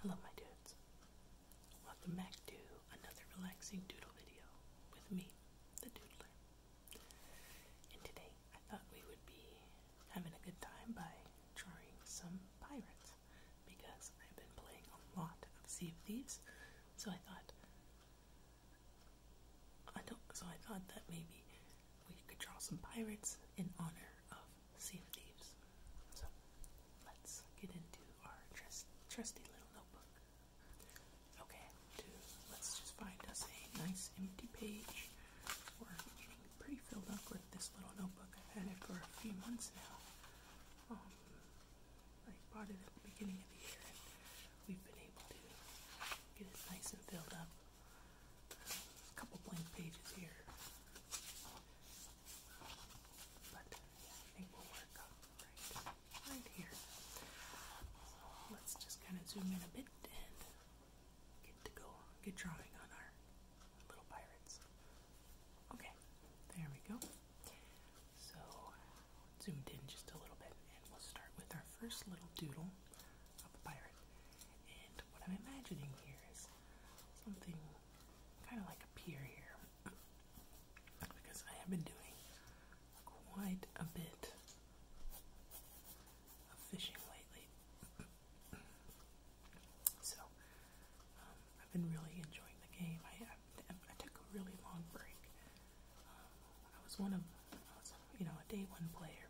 Hello, my dudes. Welcome back to another relaxing doodle video with me, the doodler. And today I thought we would be having a good time by drawing some pirates because I've been playing a lot of Sea of Thieves, so I thought so I thought that maybe we could draw some pirates in honor of Sea of Thieves. So let's get into our trust, trusty little notebook. Okay, to, let's just find us a nice empty page. We're pretty filled up with this little notebook. I've had it for a few months now. Um, I bought it at the beginning of the year, and we've been able to get it nice and filled up a couple blank pages here. But yeah, I think we'll work up right, here. let's just kind of zoom in a bit and get to go, get drawing on our little pirates. Okay, there we go. So zoomed in just a little bit and we'll start with our first little doodle of a pirate. And what I'm imagining here is something kind of like a pier here. Because I have been doing quite a bit of fishing lately. so, um, I've been really enjoying the game. I, took a really long break. Um, I was one of, you know, a day one player.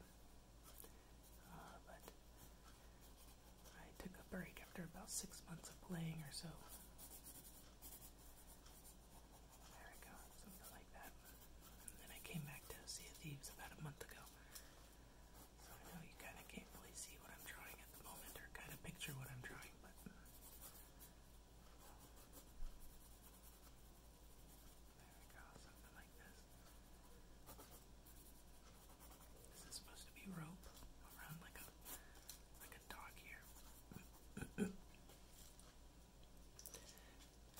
Uh, but I took a break after about six months of playing or so. There we go, something like that. then I came back to Sea of Thieves about a month ago. So I know you kind of can't really see what I'm drawing at the moment or kind of picture what I'm drawing, but. There we go, something like this. This is supposed to be rope around like a like a dog here.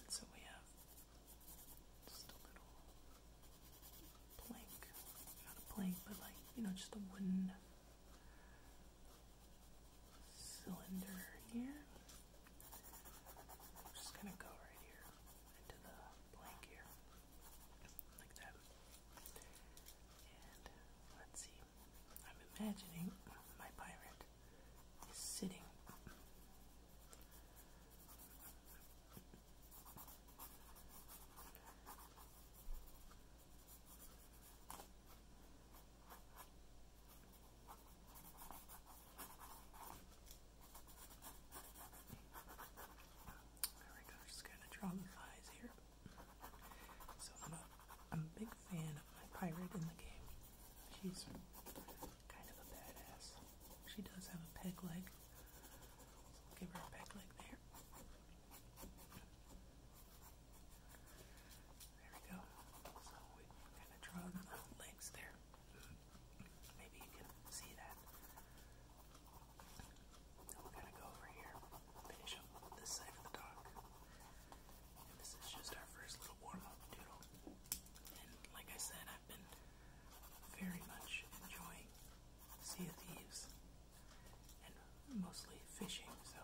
so we have just a little plank. Not a plank, but like, you know, just a wooden cylinder here. I'm just gonna go right here into the blank here, like that. And let's see, I'm imagining my pirate is sitting there we go, just gonna draw the eyes here. So I'm a big fan of my pirate in the game. She's kind of a badass. She does have a peg leg. give her a peg leg there. There we go. So we kind of draw the legs there. Maybe you can see that. we're gonna go over here, finish up this side of the dock. this is just our first little warm-up doodle. And like I said, I've been very much enjoying Sea of Thieves and mostly fishing, so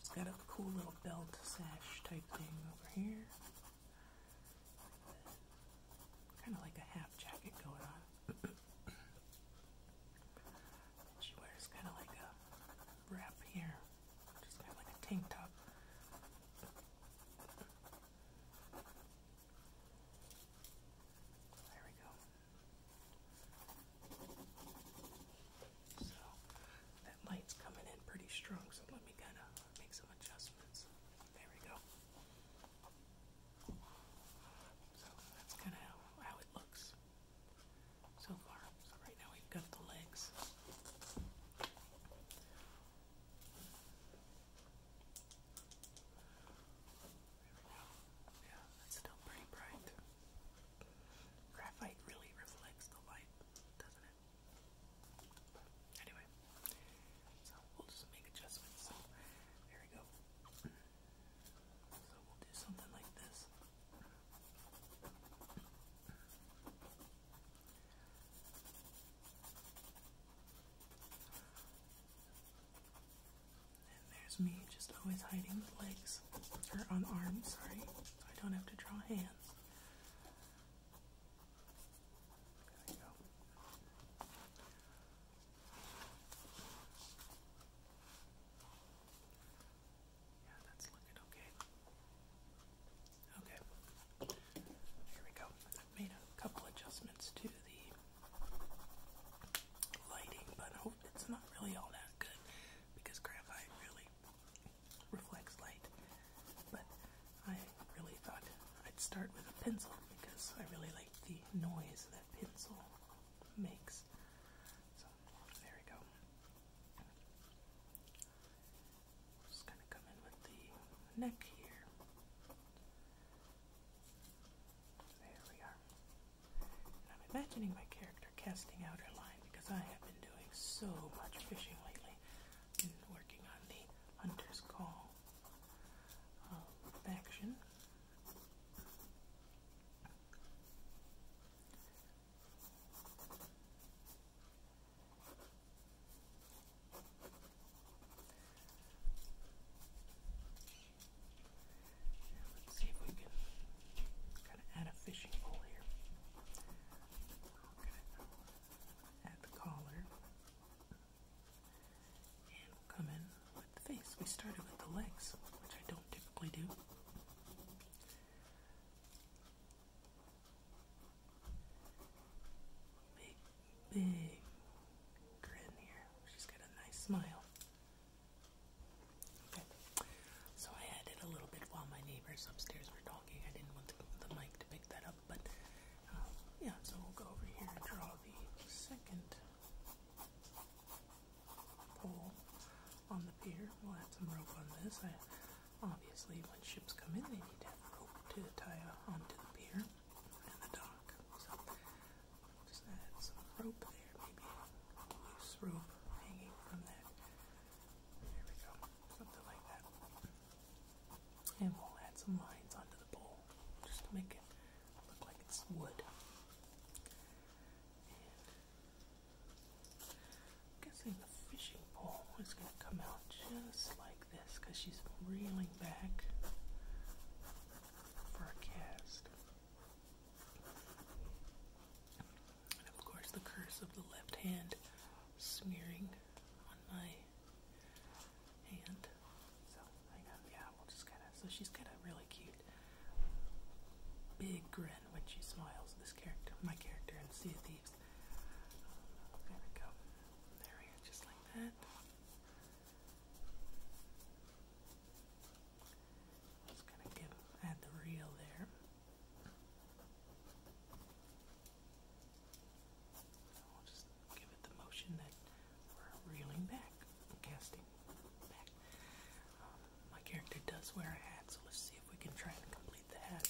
She's got a cool little belt sash type thing over here. Kind of like a half jacket going on. she wears kind of like a wrap here, just kind of like a tank top. There we go. So that light's coming in pretty strong, so let me kind of make some adjustments. There we go. So that's kind of how, it looks so far. So right now we've got the legs. There we go. Yeah, that's still pretty bright. Graphite really reflects the light, doesn't it? anyway, so we'll just make adjustments. there we go. So we'll do something like this. And there's me just always hiding with legs, or on arms, sorry, so I don't have to draw hands. There we go. Yeah, that's looking okay. Okay. Here we go. I've made a couple adjustments to the lighting, but I hope it's not really all that good because graphite really reflects light. But I really thought I'd start with a pencil because I really like the noise that pencil makes. So there we go. Just kind of come in with the neck here. There we are. I'm imagining my character casting out her line because I have been doing so much fishing lately. I've working on the Hunter's Call uh, let's see if we can kind of add a fishing pole here. add the collar, and we'll come in with the face. We started with the legs, which I don't typically do. Big, big grin here. She's got a nice smile. Okay. So I added a little bit while my neighbors upstairs were talking. I didn't want the, mic to pick that up, but um, yeah, so we'll go over here and draw the second pole on the pier. We'll add some rope on this. obviously, when ships come in, they need to have rope to tie onto the pier and the dock. just add some rope there, maybe loose rope hanging from that. There we go, something like that. And we'll add some lines onto the pole just to make it look like it's wood. guessing the fishing pole is going to come out just like this because she's reeling back for a cast. And of course, the curse of the left hand smearing on my hand. So, hang on, yeah, we'll just kind of. So, she's got a really cute big grin when she smiles. This character, my character in Sea of Thieves. Uh, there we go. There we go, just like that. Just gonna add the reel there. we'll just give it the motion that we're reeling back, casting back. Um, my character does wear a hat, so let's see if we can try and complete the hat.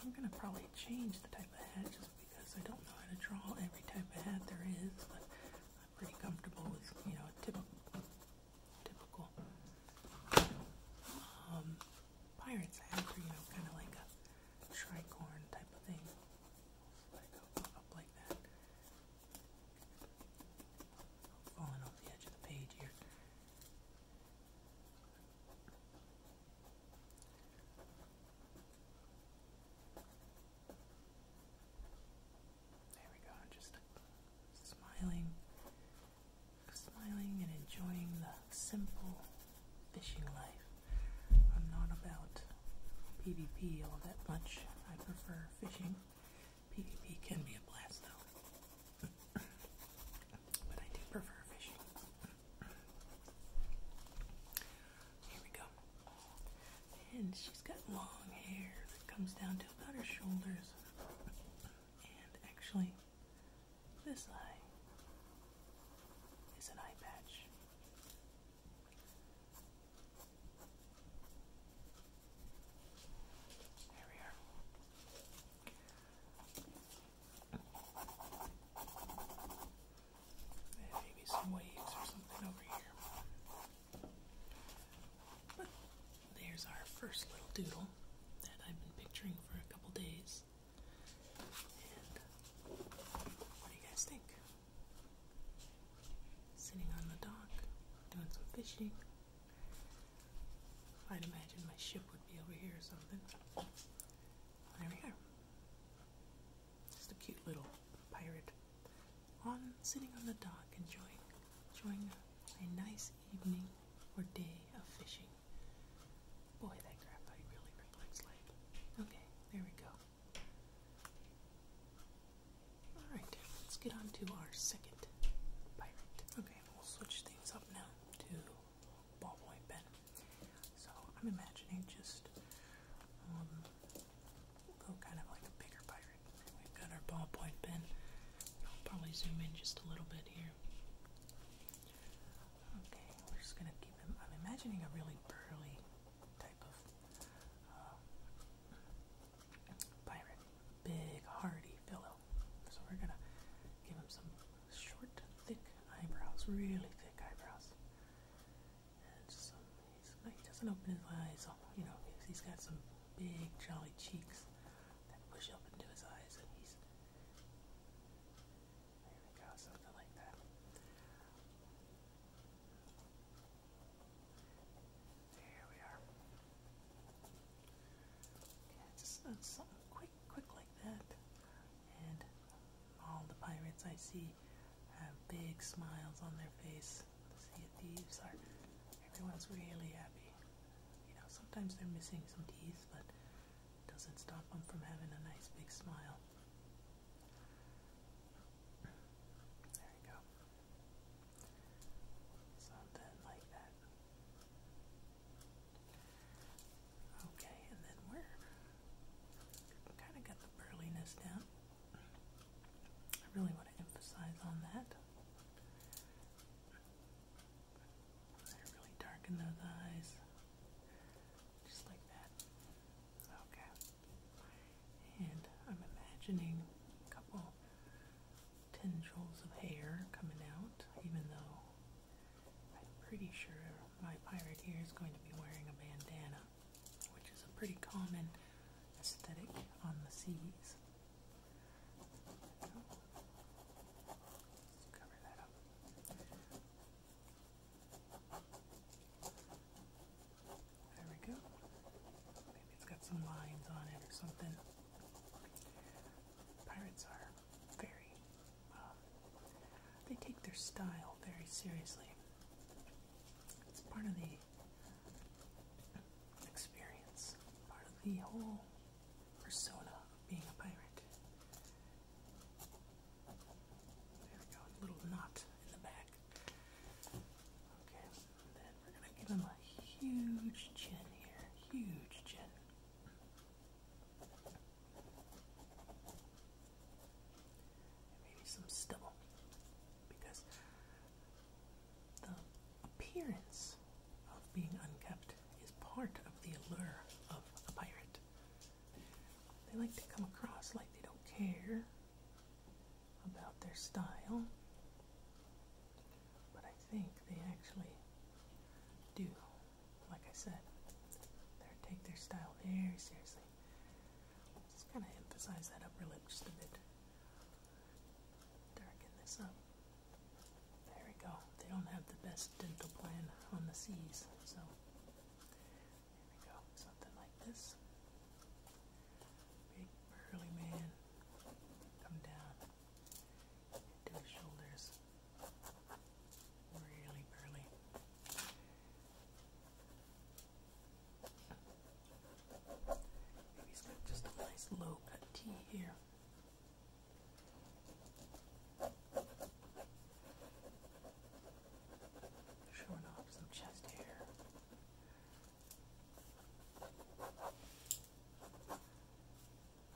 I'm gonna probably change the type of hat just because I don't know how to draw every type of hat there is, but I'm pretty comfortable with you know a typical typical um, pirate's hat or you know kind of like a tricorn type of thing. Like up, up like that. Falling off the edge of the page here. There we go, just smiling, smiling and enjoying the simple fishing life. I'm not about PvP all that much. I prefer fishing. PvP can be a blast though. but I do prefer fishing. Here we go. And she's got long hair that comes down to about her shoulders. And actually, this eye is an eye patch. There we are maybe some waves or something over here. there's our first little doodle that I've been picturing for a couple days. what do you guys think? Sitting on the dock, doing some fishing. I'd imagine my ship would be over here or something. There we go. Just a cute little pirate on sitting on the dock enjoying enjoying a, nice evening or day of fishing. Boy, that graphite really reflects light. Okay, there we go. Alright, let's get on to our second pirate. Okay, we'll switch things up now to ball pen. So I'm imagining just um, go kind of like a bigger pirate. We've got our ballpoint pen. I'll probably zoom in just a little bit here. Okay, we're just gonna keep him. I'm imagining a really burly type of uh, pirate, big, hardy fellow. So we're gonna give him some short, thick eyebrows, really thick eyebrows. And just some, he's, he doesn't open his eyes, you know, he's got some big, jolly cheeks that push up into his eyes, and he's, there we go, something like that. There we are. Okay, just uh, something quick quick, quick like that. And all the pirates I see have big smiles on their face. The Sea of Thieves are, everyone's really happy. You know, sometimes they're missing some teeth, but it doesn't stop them from having a nice big smile. There you go. Something like that. Okay, and then we're kind of got the burliness down. I really want to emphasize on that. really darken those eyes. Just like that. Okay. And I'm imagining a couple tendrils of hair coming out, even though I'm pretty sure my pirate here is going to be wearing a bandana, which is a pretty common aesthetic on the seas. cover that up. There we go. Maybe it's got some lines on it or something. Pirates are very, uh, they take their style very seriously. It's part of the experience, part of the whole persona of being a pirate. There we go, little knot in the back. Okay, then we're gonna give him a huge chin here, huge chin. And maybe some stubble because the appearance of being unkept is part of the allure of a pirate. They like to come across like they don't care about their style but I think they actually do. Like I said, they take their style very seriously. Just kind of emphasize that upper lip just a bit. Darken this up. There we go. They don't have the best dental plan on the seas, so here we go. Something like this. Big burly man. Come down to shoulders. Really burly. he's got just a nice low cut T here. Showing off some chest hair.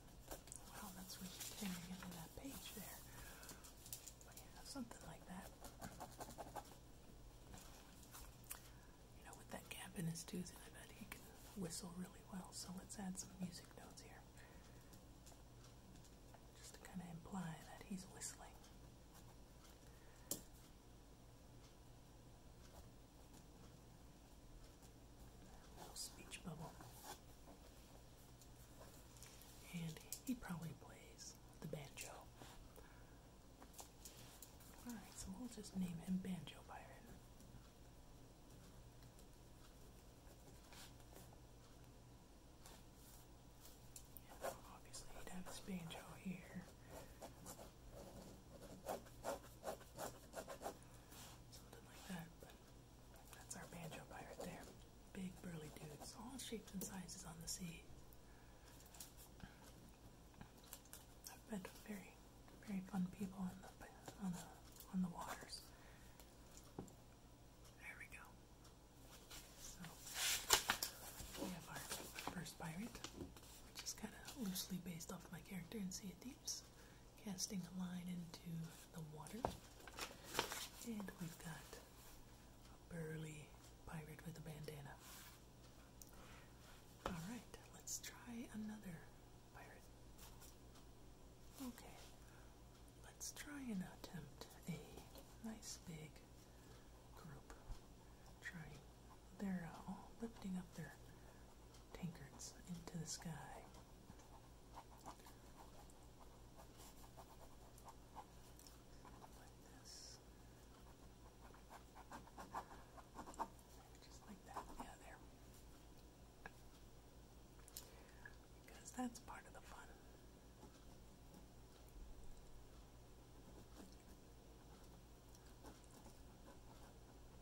Wow, that's what tearing into that page there. something like that. You know, with that gap in his tooth, I bet he can whistle really well. So let's add some music notes here. Just to kind of imply that he's whistling little speech bubble. And he probably plays the banjo. Alright, so we'll just name him Banjo Byron. obviously, he'd have his banjo here. Something like that, that's our banjo pirate there. Big burly dudes, all shapes and sizes on the sea. I've met very, very fun people on the on the on the waters. There we go. So we have our first pirate, which is kind of loosely based off my character in Sea of Thieves casting a line into the water. And we've got a burly pirate with a bandana. Alright, let's try another pirate. Okay, let's try and attempt a nice big group. Trying, they're all lifting up their tankards into the sky just like that. Yeah, there. Because that's part of the fun.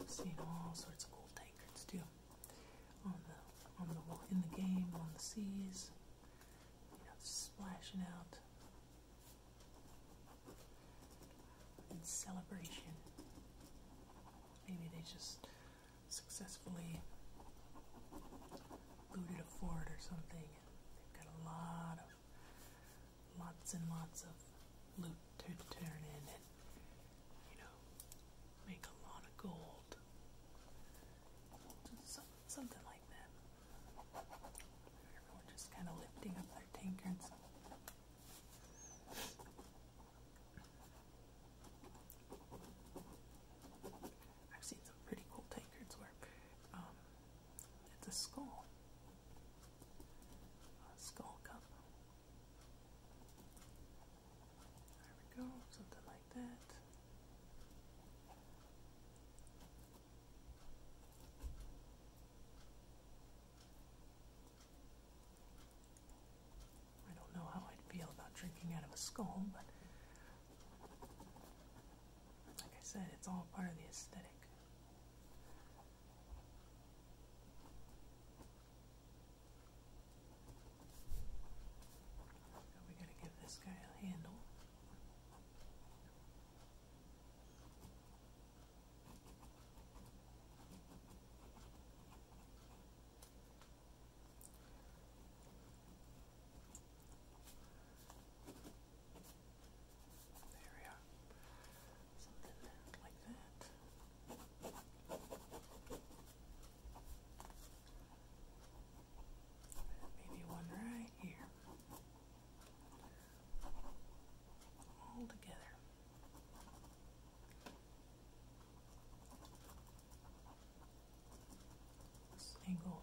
I've seen all sorts of cool tankards too. On the on the in the game, on the seas, you know, splashing out in celebration. Maybe they just successfully looted a fort or something. They've got a lot of lots and lots of loot to turn in and you know, make a lot of gold. something like that. Everyone just kind of lifting up their tankards. I've seen some pretty cool tankards where um, it's a skull, skull cup, there we go, something like that. I don't know how I'd feel about drinking out of a skull, but like I said, it's all part of the aesthetic we're going to give this guy a handle. There we are. Maybe one right here. All together. angle.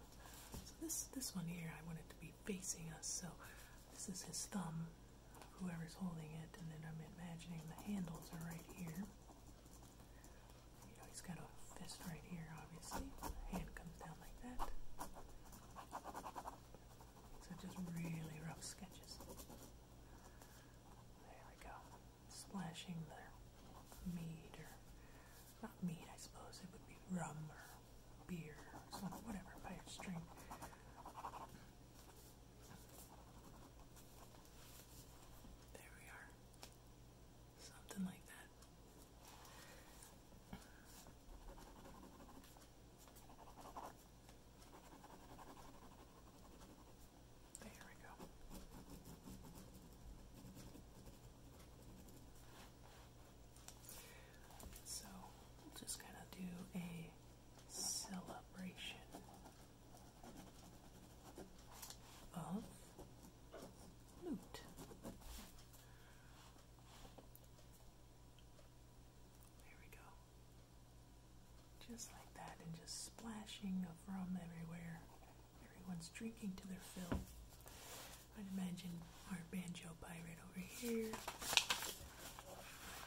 So this this one here I want it to be facing us, so this is his thumb whoever's holding it, and then I'm imagining the handles are right here. he's got a fist right here, obviously. hand comes down like that. So just really rough sketches. There we go. Splashing the mead, or not mead, I suppose, it would be rum or beer whatever, pirate string there we are. Something like that. There we go. So, just kind of do a celebration of loot. There we go. Just like that, and just splashing of rum everywhere. Everyone's drinking to their fill. I'd imagine our banjo pirate over here.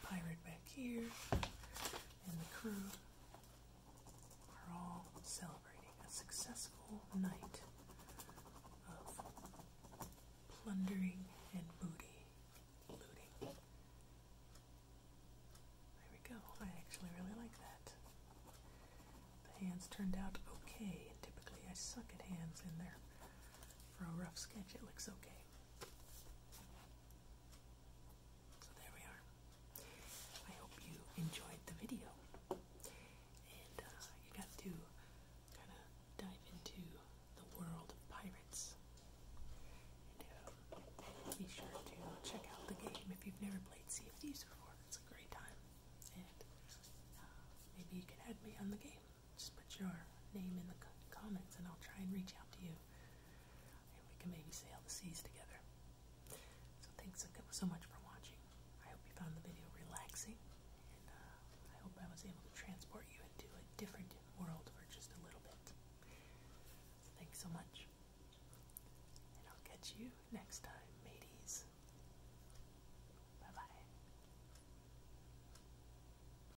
Pirate here, and the crew are all celebrating a successful night of plundering and booty looting. There we go. I actually really like that. The hands turned out okay, typically I suck at hands in there. For a rough sketch, it looks okay. So there we are. I hope you enjoyed the video. And uh, you got to kind of dive into the world of pirates. And uh, be sure to check out the game if you've never played Sea of Thieves before. It's a great time. And uh, maybe you can add me on the game just put your name in the comments and I'll try and reach out to you. And we can maybe sail the seas together. So thanks so much for watching. I hope you found the video relaxing. And uh, I hope I was able to transport you into a different world for just a little bit. thanks so much. And I'll catch you next time, mates. Bye-bye.